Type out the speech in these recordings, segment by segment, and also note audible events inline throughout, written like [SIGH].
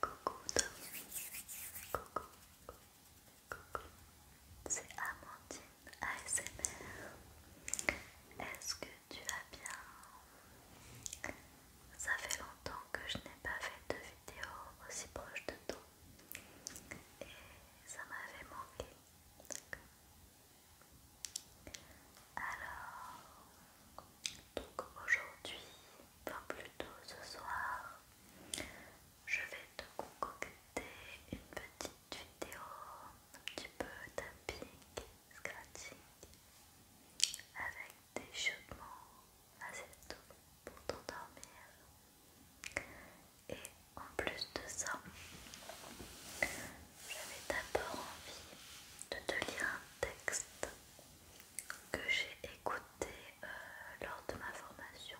Coucou Tommy, coucou, coucou, c'est Amandine ASMR. Est-ce que tu vas bien? Ça fait longtemps que je n'ai pas fait de vidéo aussi proche de toi et ça m'avait manqué. Alors, donc aujourd'hui, enfin plutôt ce soir, je vais te concocter une petite vidéo un petit peu tapping, scratching avec des chiottements assez tôt pour t'endormir et en plus de ça j'avais d'abord envie de te lire un texte que j'ai écouté euh, lors de ma formation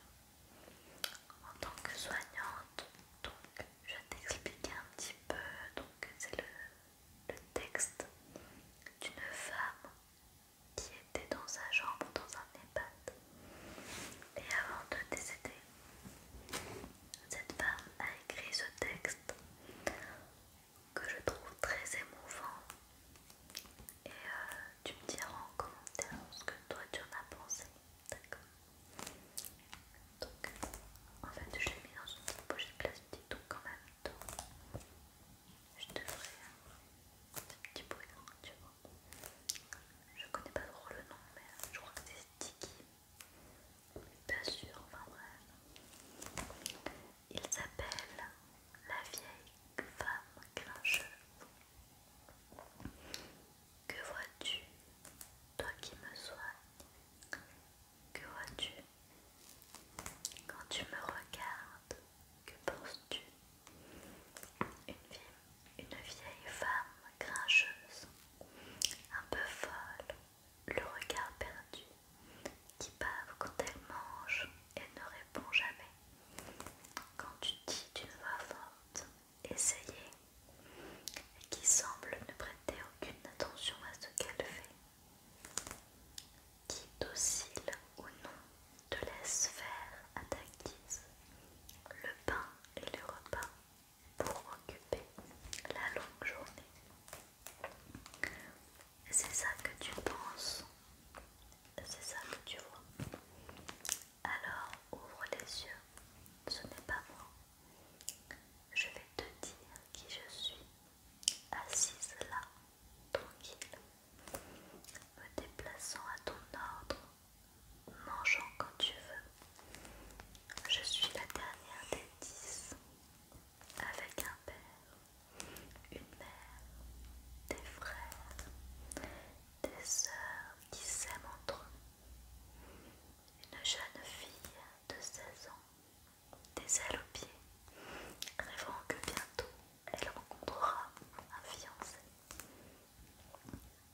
en tant que soignante. Donc, je vais t'expliquer un petit peu. Donc, c'est le, texte d'une femme qui était dans sa jambe dans un EHPAD. Et avant de décéder, cette femme a écrit ce texte que je trouve très émouvant et euh, tu me diras en commentaire ce que toi tu en as pensé, d'accord Donc en fait je l'ai mis dans une petite pochette plastique donc quand même je devrais ferai un petit bruit, hein, tu vois Je connais pas trop le nom mais je crois que c'est sticky Bien sûr, enfin bref il s'appelle La vieille femme grincheuse, Que vois-tu, toi qui me sois Que vois-tu quand tu me regardes Que penses-tu une, une vieille femme grincheuse, un peu folle, le regard perdu, qui bave quand elle mange et ne répond jamais. Quand tu dis d'une voix forte, essayez, qui semble ne prêter aucune attention à ce qu'elle fait. Qui, docile ou non, te laisse faire à ta guise le pain et le repas pour occuper la longue journée. C'est ça que tu penses, c'est ça que tu vois. Alors ouvre les yeux, ce n'est pas moi. Je vais te dire qui je suis, assise là, tranquille, me déplaçant à ton ordre, mangeant quand tu veux. Je suis la dernière des dix, avec un père une mère, des frères, des sœurs qui s'aiment entre eux. Une jeune fille de 16 ans, des ailes aux pieds, rêvant que bientôt elle rencontrera un fiancé.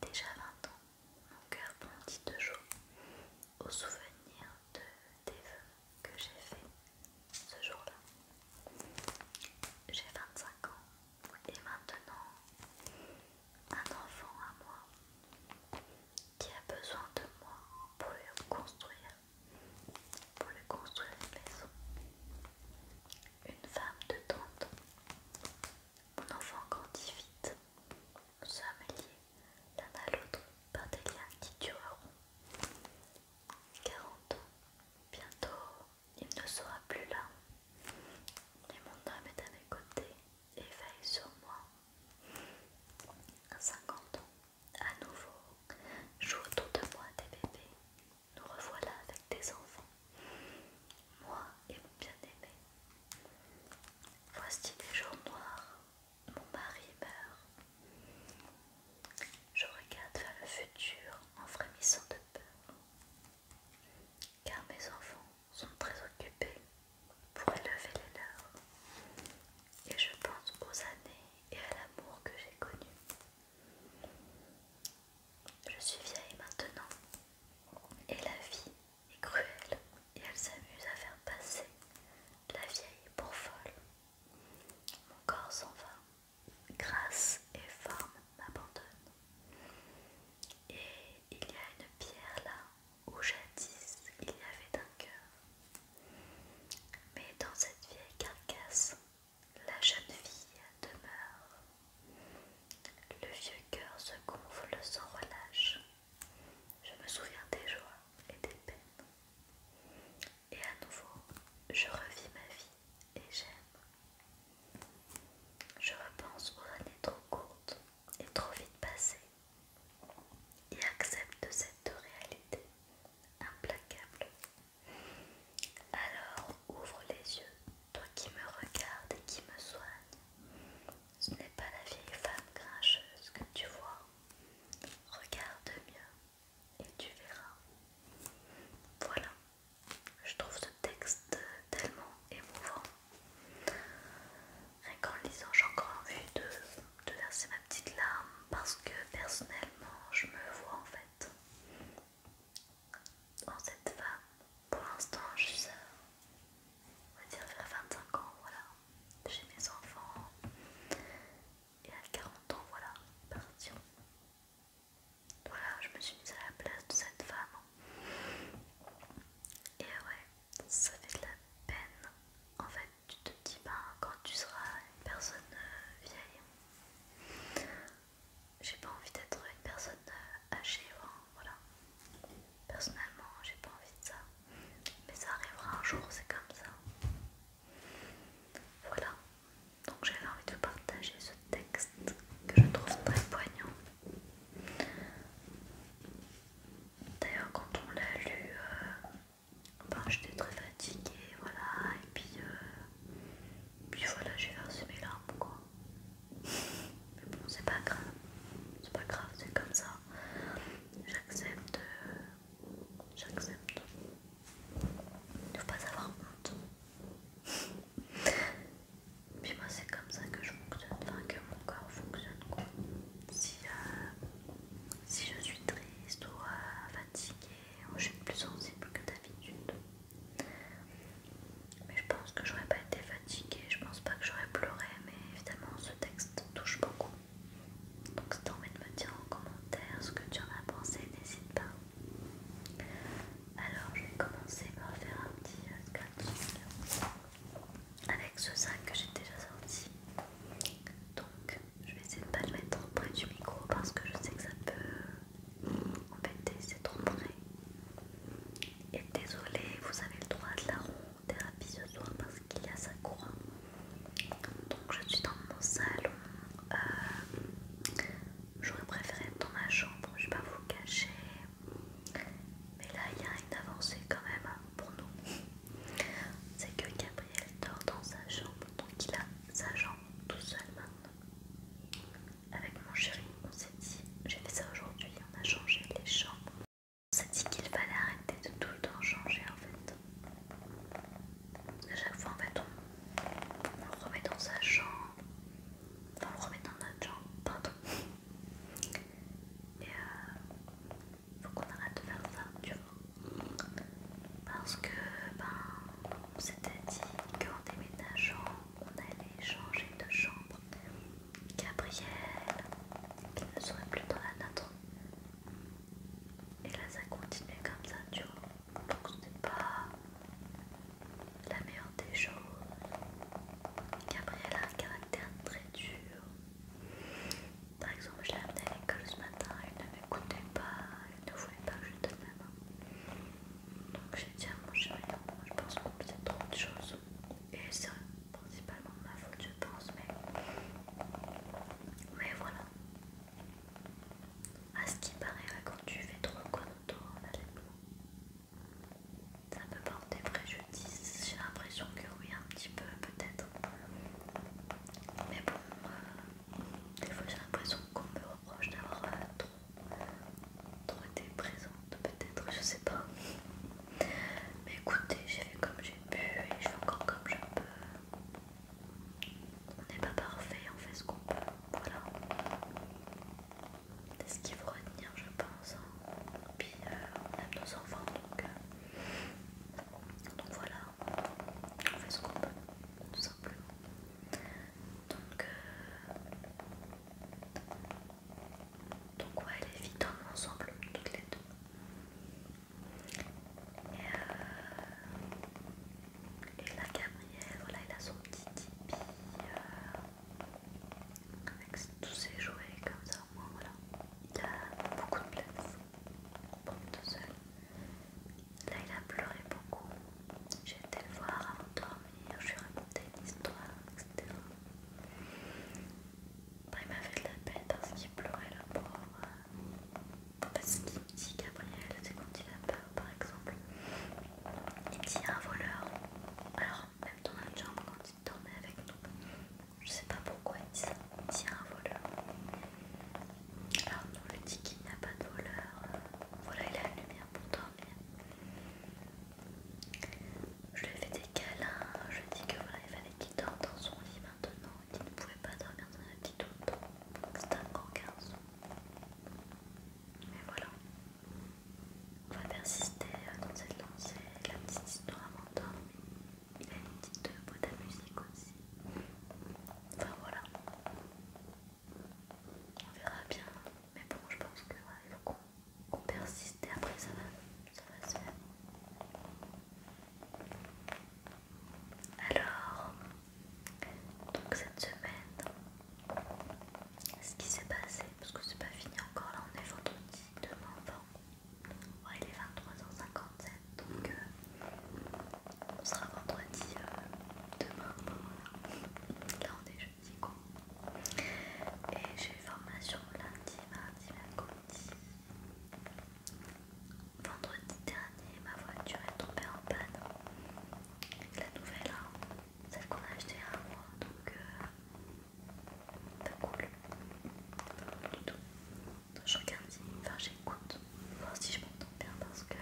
Déjà 20 ans, mon cœur bondit de joie au souvenir de des vœux que j'ai fait ce jour-là. J'ai 25 ans et maintenant un enfant à moi qui a besoin de moi pour le construire, pour le construire une maison. Une femme de tante. Mon enfant grandit vite. Nous sommes liés l'un à l'autre par des liens qui dureront. 40 ans. Bientôt, il ne sera plus là. Et mon homme est à mes côtés et veille sur moi. 50 ans. À nouveau, joue autour de moi des bébés. Nous revoilà avec des enfants. Moi et mon bien-aimé. Voici des jours noirs, mon mari meurt. Je regarde vers le futur en frémissant de peur, car mes enfants sont très occupés pour élever les leurs, et je pense aux années et à l'amour que j'ai connu. Je suis vieille maintenant, et la vie est cruelle, et elle s'amuse à faire passer la vieille pour folle. Mon corps s'en va, grâce et forme m'abandonnent, Et il y a une pierre là où jadis il y avait un cœur. Mais dans cette vieille carcasse, la jeune fille demeure. Le vieux cœur se gonfle sans relâche. Je me souviens des joies et des peines et à nouveau je revis ma vie et j'aime. Je repense aux années trop courtes et trop vite passées et accepte cette réalité implacable. Alors ouvre les yeux, toi qui me regardes et qui me soigne. Ce n'est pas la vieille femme grincheuse que tu vois. Regarde mieux et tu verras. Voilà, je trouve ce texte tellement émouvant. Rien qu'en lisant, j'ai encore envie de, verser ma petite larme parce que personnellement, je me vois en fait en cette femme. Pour l'instant, je suis, on va dire, vers 25 ans, voilà. J'ai mes enfants, et à 40 ans, voilà, partir. Voilà, je me suis mise à la place de cette femme. Et ouais, ça fait de la peine. En fait, tu te dis, ben, quand tu seras une personne euh, vieille, j'ai pas envie d'être une personne euh, âgée, voilà. Personnellement, j'ai pas envie de ça. Mais ça arrivera un jour, c'est comme ça. Voilà, donc j'avais envie de partager ce texte que je trouve très poignant. D'ailleurs, quand on l'a lu, euh, ben, j'étais très fatiguée, voilà, et puis, euh, puis voilà, j'ai versé mes larmes, Mais bon, c'est pas grave, c'est pas grave, c'est comme ça. J'accepte, euh, j'accepte. Il ne faut pas avoir honte. Puis moi c'est comme ça que je fonctionne, enfin que mon corps fonctionne euh, Si, je suis triste ou euh, fatiguée, ou je suis plus sensible que d'habitude. Mais je pense que j'aurais pas été fatiguée, je pense pas que j'aurais pleuré, mais évidemment ce texte touche beaucoup. Donc si t'as envie de me dire en commentaire ce que tu en as pensé, n'hésite pas. Alors je vais commencer par faire un petit scratch euh, avec ce sac que j'ai déjà sorti. Donc je vais essayer de pas le mettre trop près du micro parce que je sais que ça peut euh, embêter, c'est trop près. Et désolé, vous avez le droit de la ronde thérapie ce soir parce qu'il y a sa couronne. Donc je suis dans mon salon. Euh, j'aurais préféré être dans ma chambre, je vais pas vous cacher. Mais là il y a une avancée quand même hein, pour nous. C'est que Gabriel dort dans sa chambre, donc il a sa chambre tout seul maintenant. Avec mon chéri, on s'est dit, j'ai fait ça aujourd'hui, on a changé les chambres. On s'est dit qu'il fallait arrêter de tout le temps changer en fait à chaque fois en fait on, le remet dans sa chambre, Enfin, on le remet dans notre chambre, pardon. Il euh, faut qu'on arrête de faire ça, tu vois. Parce que ben, on s'était dit qu'en déménageant, on allait changer de chambre. Gabriel, qu'il ne serait plus dans la nôtre, et là ça continue comme ça, tu vois. Donc n'est pas la meilleure des choses. Gabrielle a un caractère très dur. Par exemple, je l'ai amenée à l'école ce matin, elle ne m'écoutait pas, elle ne voulait pas que je donne main. Donc je dit à mon chéri, moi je pense qu'on faisait trop de choses. Et c'est principalement ma faute, je pense, mais. Mais voilà. À ce qui paraît, quand tu fais trop toi en ça peut porter préjudice. J'ai l'impression que oui, un petit peu, peut-être. Mais bon, euh, des fois j'ai l'impression qu'on me reproche d'avoir euh, trop, trop été présente, peut-être, je sais pas. Mais écoutez, j'ai fait comme j'ai pu et je fais encore comme je peux on n'est pas parfait, on fait ce qu'on peut. Voilà. C'est ce qu'il faut retenir, je pense. et hein. Puis euh, on aime nos enfants, donc, euh, donc voilà, on fait ce qu'on peut, tout simplement. Donc, euh, donc ouais, les vies tombent ensemble toutes les deux. Et, là, Gabriel, voilà, il a son petit tipi euh, avec tous ses jouets comme ça, au moins, voilà. Il a beaucoup de place pour tout seul. Là, il a pleuré beaucoup. J'ai été le voir avant de dormir, je lui ai raconté une histoire, etc. il m'a fait de la peine parce qu'il pleurait, là-bas. Parce qu'il dit Gabriel, c'est quand il a peur par exemple. Il dit un voleur. Alors, même dans la chambre, quand il dormait avec nous, je sais pas pourquoi il dit ça. Il dit un voleur. Alors, nous, on lui dit qu'il n'y a pas de voleur. Voilà, il a la lumière pour dormir. Je lui ai fait des câlins. Je lui ai dit que voilà, il fallait qu'il dorme dans son lit maintenant qui ne pouvait pas dormir dans la petite autre. C'est un grand garçon. Mais voilà. On va persister dans cette lancée. La petite histoire m'endormie. Il a une petite euh, boîte à musique aussi. Enfin voilà. On verra bien. Mais bon, je pense qu'il faut qu'on persiste et après ça va, ça va se faire. Alors, donc cette semaine, ce qui s'est passé, parce que c'est pas fini encore, là on est vendredi, demain avant ouais, il est 23h57, donc euh, on sera vendredi euh, demain, voilà. là on est jeudi quoi. Et j'ai formation lundi, mardi, mercredi. Vendredi dernier, ma voiture est tombée en panne. La nouvelle, hein, celle qu'on a achetée à moi, donc euh, pas cool du tout. Je regarde, enfin j'écoute, voir si je m'entends bien parce que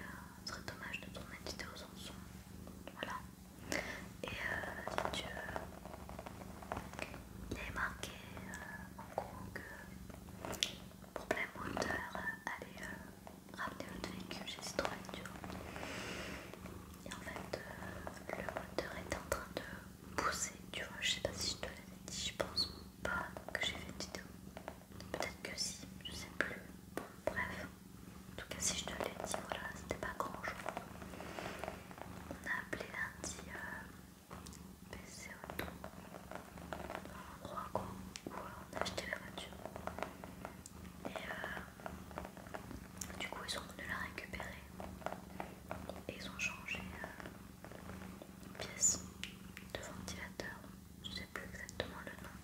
ce serait dommage de tourner une vidéo sans son. Voilà. Et euh, si tu veux, il est marqué euh, en gros que problème moteur allez euh, ramener votre véhicule j'ai de trouver tu vois. Et en fait, euh, le moteur était en train de pousser, tu vois. Je sais pas si je te l'avais dit, je pense pas que j'ai fait une vidéo. Peut-être que si, je sais plus. bref, en tout cas, si je te l'ai dit, voilà, c'était pas grand chose. On a appelé lundi euh, PC au dans un quoi, où on a acheté la voiture. Et euh, du coup, ils sont venus la récupérer et ils ont changé euh, une pièce de ventilateur. Je sais plus exactement le nom,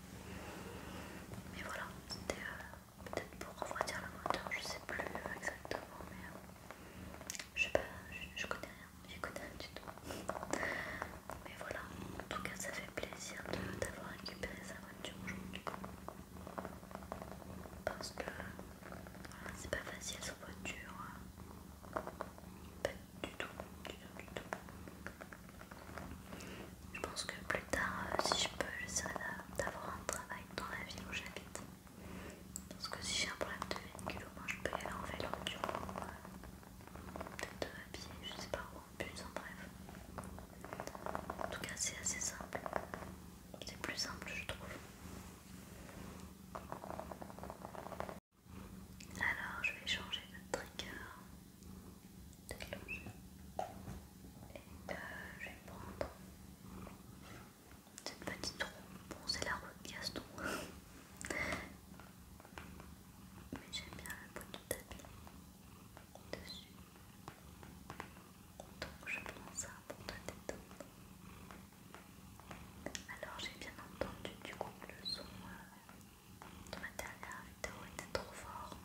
mais voilà, c'était euh, peut-être pour refroidir le moteur, je sais plus exactement, mais je sais pas, je connais rien écoute un tuto, Mais voilà, en tout cas ça fait plaisir d'avoir récupéré sa voiture aujourd'hui. Parce que c'est pas facile sa voiture. Hein. Pas du tout, du tout, du tout. Je pense que plus tard, euh, si je peux, j'essaierai d'avoir un travail dans la ville où j'habite. Parce que si j'ai un problème de véhicule, au moins je peux y aller en vélo. Tu de ma à je sais pas où, en en bref. En tout cas, c'est assez simple. C'est plus simple, je trouve. Alors, je vais changer notre trigger, et euh, je vais prendre cette petite roue. Bon, c'est la roue de Gaston. [LAUGHS] Mais j'aime bien la peau de tapis dessus. Donc je prends ça hein, pour te détendre. Alors j'ai bien entendu du coup le son euh, de ma dernière vidéo était trop fort.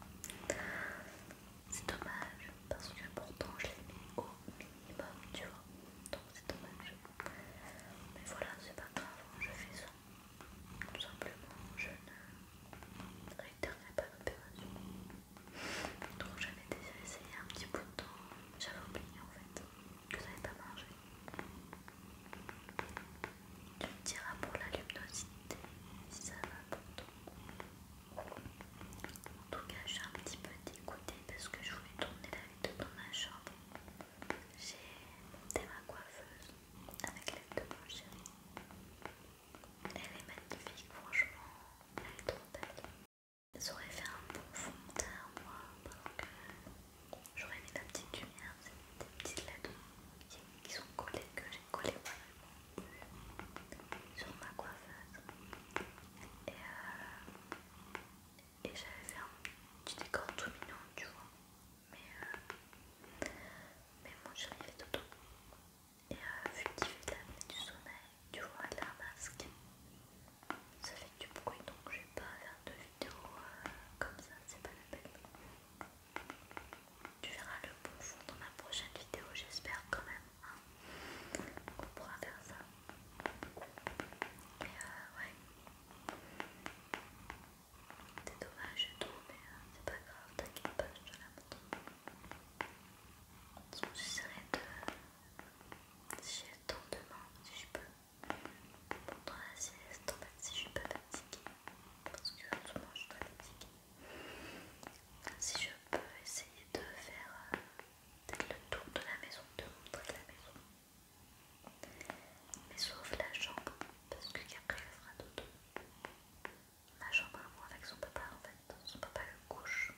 C'est dommage parce que pourtant je l'ai mis au minimum, tu vois. Donc c'est dommage. Mais voilà, c'est pas grave, je fais ça. Tout simplement, je ne réitérerai pas l'opération. Donc j'avais déjà essayé un petit bout de temps, j'avais oublié en fait que ça n'avait pas marché. Tu me diras pour la luminosité si ça va pour toi. En tout cas, je suis un petit peu dégoûtée parce que je voulais tourner la vidéo dans ma chambre j'ai ma coiffeuse avec l'aide de mon chéri. Elle est magnifique, franchement, elle est trop belle. Ça fait un bon fond de teint, moi, j'aurais mis la petite lumière, des petites lettres qui, sont collées, que j'ai collées moi sur ma coiffeuse. Et, euh, et j'avais fait un petit décor tout mignon, tu vois mais, euh, mais bon, je vais arrivée tout Et euh, vu qu'il fait de la nuit du sommeil, du voile de la masque, ça fait du bruit donc je vais pas faire de vidéo euh, comme ça, c'est pas la peine. Tu verras le bon fond dans ma prochaine vidéo, j'espère quand même. Hein, On pourra faire ça. Mais euh, ouais. C'est dommage, et tout, mais euh, c'est pas grave, t'inquiète pas, je te la montre. J'essaierai de. Si j'ai le temps demain, si je peux, pendant la sieste, en si je peux, pas fatiguée, parce que souvent je suis fatiguée. Si je peux essayer de faire euh, le tour de la maison, de montrer la maison. Mais sauf la jambe, parce que Gabriel fera dodo. La jambe avec son papa en fait, son papa le couche.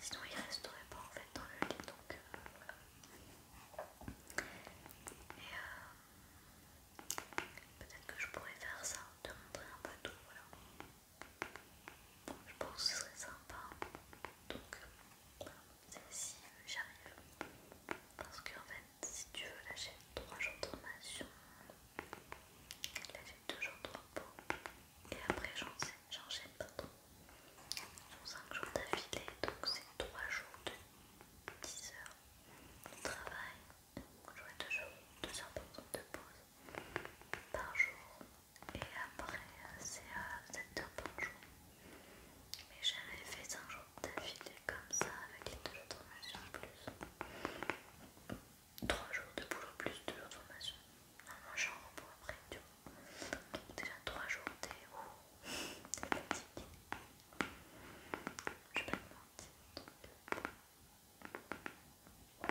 Sinon il resterait pas en fait dans le lit donc euh, voilà. Et euh, peut-être que je pourrais faire ça, te montrer un peu tout, voilà. Je pense que ce serait sympa. Donc, euh, celle si euh, j'arrive. Parce que en fait, si tu veux, là j'ai 3 jours de formation. Là j'ai 2 jours de repos. Et après j'enchaîne, trop. pardon. Sur 5 jours d'affilée, donc c'est 3 jours de 10 heures de travail. Donc j'aurai 2 jours, 2 heures de pause par jour. Et après euh, c'est 7 heures par jour. Mais j'avais fait 5 jours d'affilée comme ça avec les deux formations plus 3 jours de boulot plus de autres formation. Normalement j'ai un repos après, tu vois. Donc déjà 3 jours t'es oh, fatigué. Je vais pas te mentir. Euh,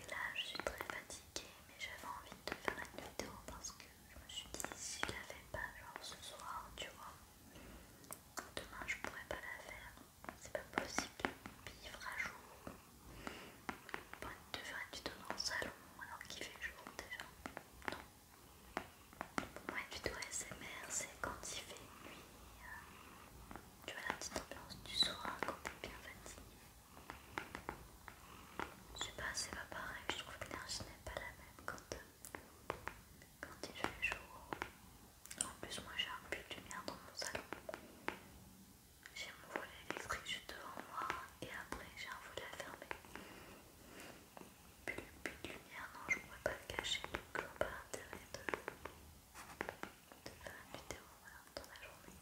et là je suis très fatiguée mais j'avais envie de faire une vidéo parce que je me suis dit, si je la pas, genre ce soir, tu vois, demain je pourrais pas la faire. C'est pas possible. Vivre à jour. Bon, de faire être dans le salon alors qu'il fait jour déjà. Non. Pour moi, SMR smr c'est quand il fait nuit. Euh, tu vois la petite ambiance du soir quand est bien fatigué. Je sais pas, c'est pas pareil. Je trouve que l'énergie n'est pas la même quand, il fait chaud. En plus, moi j'ai un peu de lumière dans mon salon. J'ai mon volet électrique juste devant moi et après j'ai un volet à fermer. Plus, plus de lumière, non, je pourrais pas le cacher donc je vois pas de, faire une vidéo dans la journée.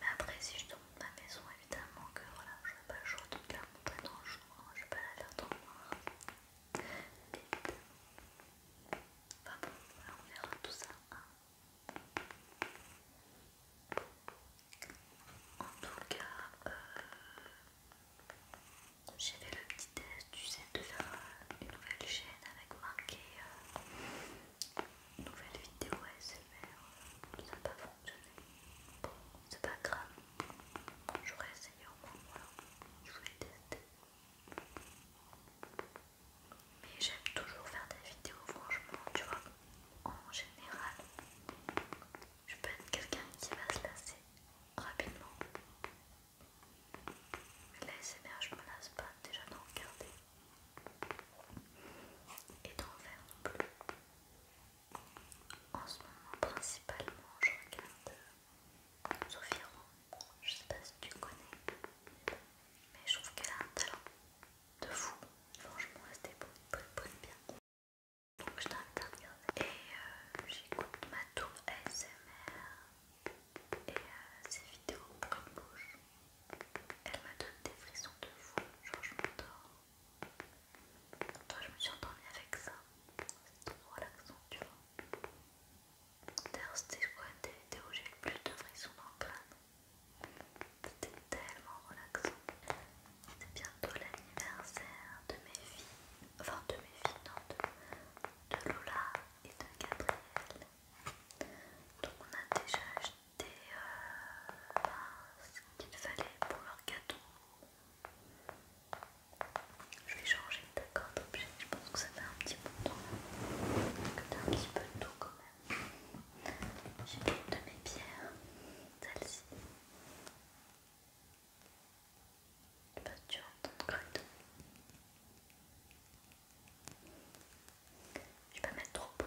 Mais après, si ma maison évidemment que voilà je vais pas jouer toute la dans le jour, hein, je vais pas la faire tomber noir Enfin bon, on verra tout ça hein. En tout cas euh, j'ai fait le petit test du sais de la nouvelle chaîne avec marqué euh, nouvelle vidéo ASMR ça n'a pas fonctionné Bon, c'est pas grave. J'aurais essayé au moins, Je voulais tester. Mais j'aime toujours faire des vidéos, franchement, tu vois. En général, je peux être quelqu'un qui va se lasser rapidement. Mais SMR je me lasse pas déjà d'en regarder et d'en faire plus. En ce moment, principalement, je regarde euh, Sophie Ron, Je sais pas si tu connais, mais je trouve qu'elle a un talent de fou. Franchement, elle se débrouille bien. Donc, je t'invite à Et euh, j'écoute ma tour SMR et euh, ses vidéos comme bouge bouche. Elle m'a donné des frissons de fou. Genre, je m'endors. Toi, je me suis endormie avec ça. C'est trop relaxant, tu vois. D'ailleurs, c'était quoi des vidéos où j'ai le plus de frissons dans le crâne. C'était tellement relaxant. C'est bientôt l'anniversaire de mes filles. Enfin, de mes filles, non, de, de Lola et de Gabriel. Donc, on a déjà acheté des, euh, ce qu'il fallait pour leur gâteau. Je vais changer d'accord d'objet, je pense que ça fait un petit bout de temps. Que t'as un petit peu de tout quand même. J'ai une de mes pierres, celle-ci. Je vais pas te tu entends correctement. Je vais pas mettre trop beau.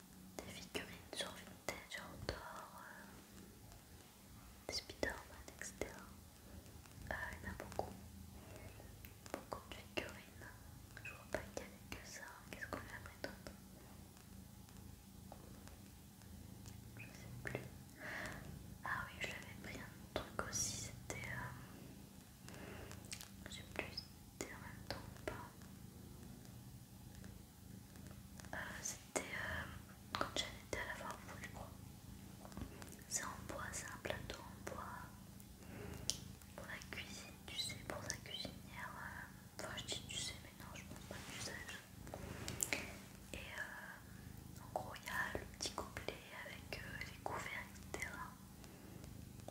des figurines sur Vintage genre d'or, euh, des spider etc. Euh, il y en a beaucoup, beaucoup de figurines. Je vois pas qu'il y avait que ça. Qu'est-ce qu'on a pris d'autre Je sais plus. Ah oui, je l'avais pris un truc aussi. C'était. j'ai euh, je sais plus si c'était en même temps ou pas. Euh, c'était euh, quand quand j'étais à la fin je crois. C'est en bois, c'est un plateau en bois pour la cuisine, tu sais, pour sa cuisinière. Euh, enfin, je dis tu sais, mais non, je pense pas que tu Et en gros, il y a le petit gobelet avec les couverts, etc.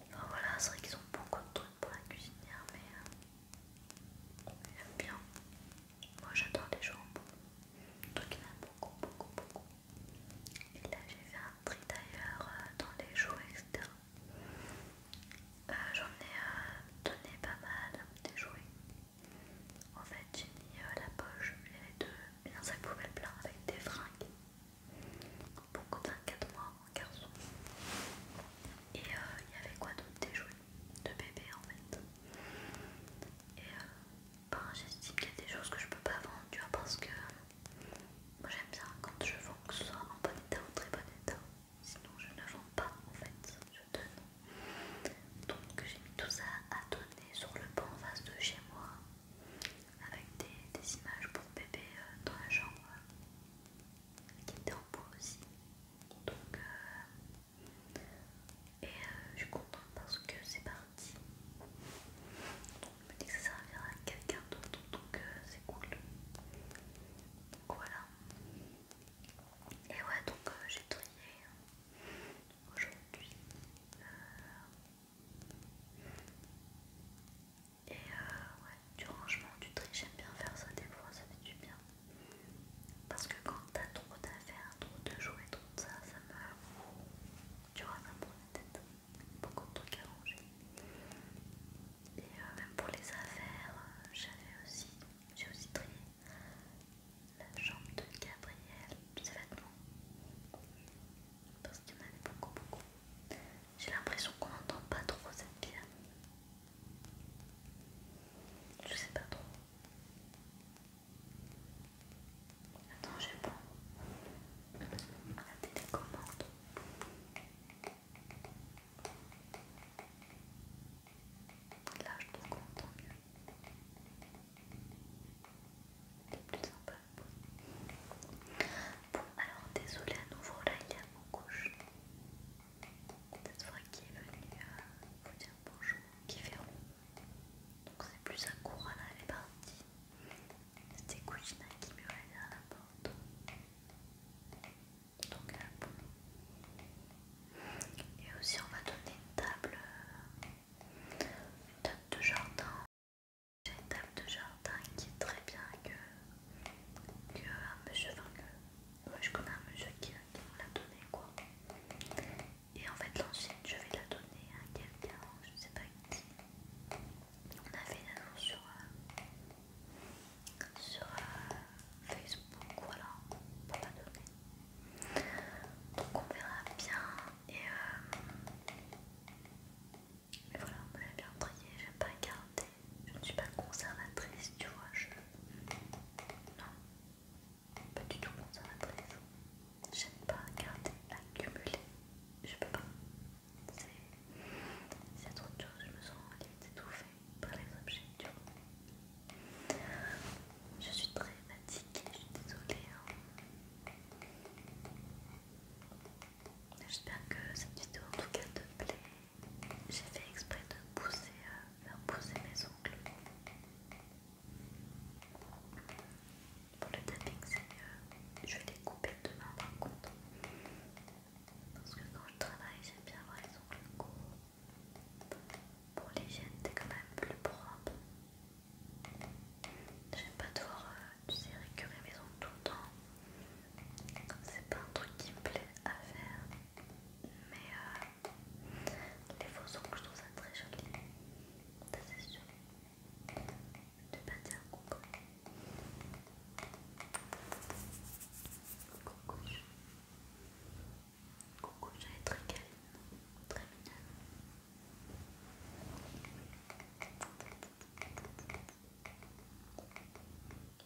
Enfin, voilà, c'est vrai qu'ils ont beaucoup de trucs pour la cuisinière, mais. J'aime bien. Moi j'adore les jouets Donc il y en a beaucoup, beaucoup, beaucoup. Et là j'ai fait un tri d'ailleurs euh, dans les jouets etc. Euh, j'en ai euh, donné pas mal des jouets. En fait j'ai mis la poche, j'avais deux, un sac poubelle plein avec des fringues. Pour 24 mois garçon. Et euh, il y avait quoi d'autre Des jouets de bébé en fait. Et euh, ben, j'estime qu'il y a des choses que je peux pas vendre, tu vois, parce que moi j'aime bien quand je vends que ce soit en bon état ou très bon état. Sinon je ne vends pas en fait, je donne. Donc j'ai mis tout ça à donner sur le banc en de chez moi avec des, images pour bébé euh, dans la chambre qui était en bois aussi. Donc, euh, et euh, je suis contente parce que c'est parti. Donc, me dit que ça servira à quelqu'un d'autre, donc euh, c'est cool. Donc voilà. Et ouais, donc j'ai trié hein, aujourd'hui et euh, ouais, du rangement, du tri, j'aime bien faire ça des fois, ça fait du bien. Parce que quand t'as trop d'affaires, trop de jouets, trop de ça, ça me... Tu vois, ça me la tête. Beaucoup de trucs à ranger. Et euh, même pour les affaires, j'avais aussi, j'ai aussi trié la chambre de Gabriel, ses vêtements. Parce qu'il en avait beaucoup, beaucoup. J'ai l'impression qu'on n'entend pas trop cette pierre. Je sais pas trop. Attends, je pas. la commandes. Là, je trouve qu'on mieux. C'est plus sympa. Bon, alors désolé à nouveau, là il y a mon couche cette fois qui est venu vous dire bonjour, qui fait Donc c'est plus à courant, elle est partie. C'était Kouchina qui meurait derrière la porte. Donc la boule. Et aussi on va donner une table, une table de jardin. J'ai une table de jardin qui est très bien que un monsieur, enfin que moi je connais un monsieur qui, qui me l'a donné quoi. Et en fait l'ancienne je vais la donner à quelqu'un, je sais pas qui. On a fait une annonce sur, euh, euh, Facebook, voilà, pour la donner. Donc on verra bien et euh, voilà, on l'a bien trié, j'aime pas garder je ne suis pas conservatrice, tu vois, je... Non, pas du tout conservatrice. J'aime pas garder, accumuler, je peux pas. C'est trop de choses, je me sens limite étouffée par les objets, tu vois. Je suis très fatiguée, je suis désolée. Hein. J'espère que cette vidéo en tout cas te plaît. J'ai fait exprès de euh, faire pousser mes ongles. Pour le tapping, que je vais les couper demain par contre. Parce que quand je travaille, j'aime bien avoir les ongles courts. Pour l'hygiène, t'es quand même plus propre. J'aime pas devoir, euh, tu sais, mes ongles tout le temps c'est pas un truc qui me plaît à faire mais euh, les faux que je trouve ça très joli ça c'est sûr de pas dire coucou coucou coucou très calme très mignonne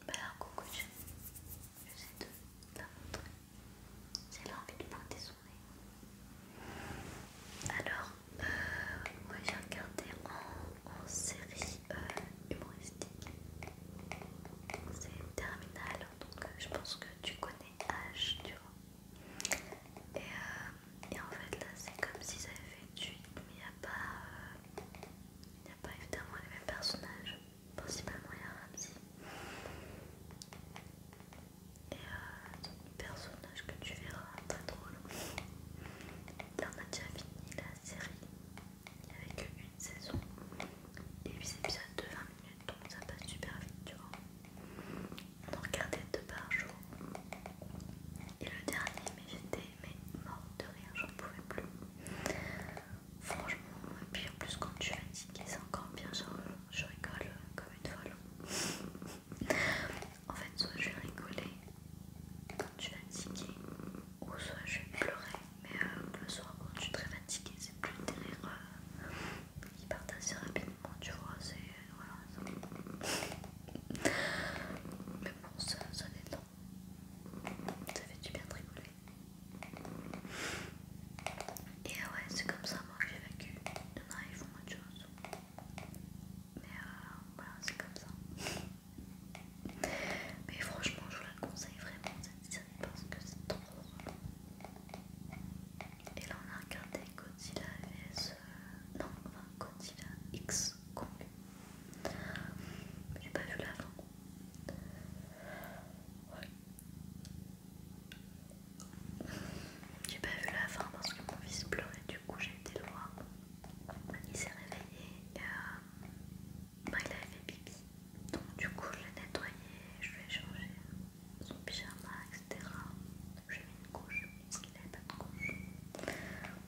alors bah, coucou, je sais de la montrer. C'est l'envie de pointer son nez. Alors, euh, j'ai regardé en, série euh, humoristique. C'est Terminal, donc euh, je pense que tu connais H, tu vois. Et, euh, en fait là c'est comme s'ils avaient fait du... mais il n'y a pas... Il n'y a pas évidemment les mêmes personnages, principalement il y a Ramsey. Et euh, un personnage que tu verras très drôle. Là on a déjà fini la série avec une saison et 8 épisodes de 20 minutes donc ça passe super vite tu vois. On en regardait deux par jour. Et le dernier mais j'étais mais mort de rire, j'en pouvais plus. Franchement, et puis en plus, quand tu es fatiguée, c'est encore bien. je rigole comme une folle. en fait, soit je vais rigoler quand tu es fatiguée, ou soit je vais pleurer. Mais euh, le soir, quand tu es très fatiguée, c'est plus des rires euh, qui partent assez rapidement, tu vois. C'est. Voilà, ça... Mais bon, ça, ça détend. Ça fait du bien de rigoler. Et ouais, c'est comme ça moi que j'ai vécu. Il ils font autre chose. Mais euh, voilà, c'est comme ça. Mais franchement, je vous la conseille vraiment cette série parce que c'est trop Et là, on a regardé Godzilla vs. Euh, non, enfin Godzilla X Kong. J'ai pas vu la j'ai pas vu la fin parce que mon fils pleurait, du coup j'ai été loin. Il s'est réveillé et euh, bah, il avait fait pipi. Donc du coup je l'ai nettoyé, je lui ai changé son pyjama, etc. J'ai mis une couche parce qu'il n'avait pas de couche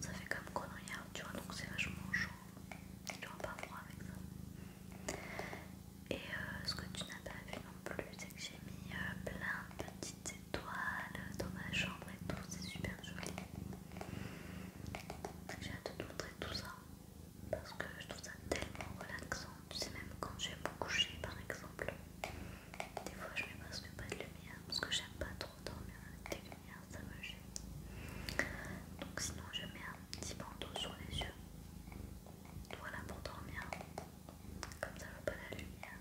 ça fait comme regarde, tu vois, donc c'est vachement chaud. Tu vas pas froid avec ça. Et euh, ce que tu n'as pas vu non plus, c'est que j'ai mis euh, plein de petites étoiles dans ma chambre et tout, c'est super joli. J'ai hâte de te montrer tout ça parce que je trouve ça tellement relaxant. Tu sais, même quand j'ai beaucoup me coucher par exemple, des fois, je mets presque pas de lumière parce que j'aime pas trop dormir avec des lumières, ça me gêne. Donc, sinon, je mets un petit bandeau sur les yeux. Voilà pour dormir. Comme ça, va pas la lumière.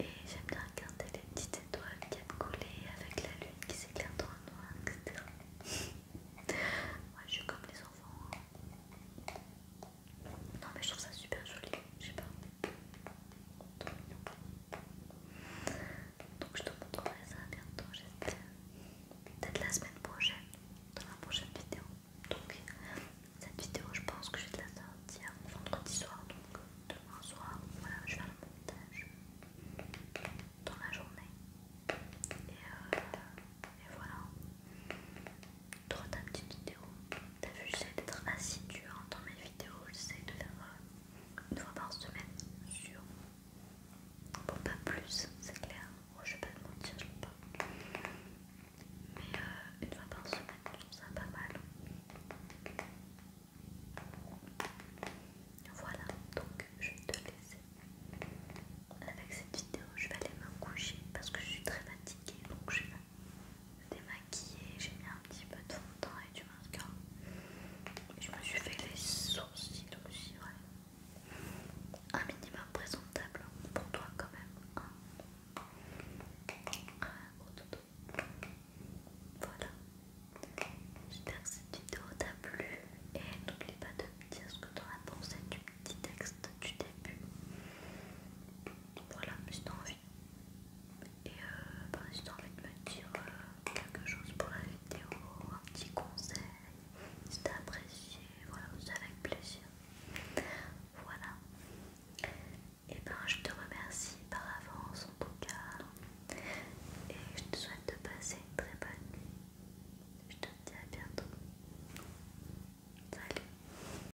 Et j'aime bien regarder les petites étoiles qui aiment coller avec la lune qui s'éclaire dans le noir, etc. [LAUGHS] Moi, je suis comme les enfants. Hein. Non, mais je trouve ça super joli, je sais pas. Donc je te montrerai ça bientôt, Peut-être la semaine prochaine, dans la prochaine vidéo. Donc cette vidéo, je pense que je vais la sortir vendredi soir, donc demain soir. Voilà, je vais faire le montage dans la journée. et euh, voilà trois ta petite vidéo. T'as vu, j'essaie d'être assidue hein, dans mes vidéos. J'essaie de faire euh, une fois par semaine sur. Bon, pas plus, c'est clair. Oh, je vais pas te mentir, je peux pas. Mais euh, une fois par semaine, je ça pas mal. Voilà, donc je vais te laisser. Avec cette vidéo, je vais aller me coucher parce que je suis très fatiguée donc je vais démaquillé, j'ai mis un petit peu de fond de teint et du mascara. Je me suis fait les sourcils aussi, ouais. Un minimum présentable hein, pour toi quand même. Hein. Voilà. J'espère que cette vidéo t'a plu et n'oublie pas de me dire ce que tu en as pensé du petit texte du début. Voilà, juste envie. Et euh, bah, envie de me dire euh, quelque chose pour la vidéo, un petit conseil. Si t'as apprécié, voilà, c'est avec plaisir. Voilà. Et ben je te remercie par avance en tout cas. Et je te souhaite de passer une très bonne nuit. Je te dis à bientôt. Salut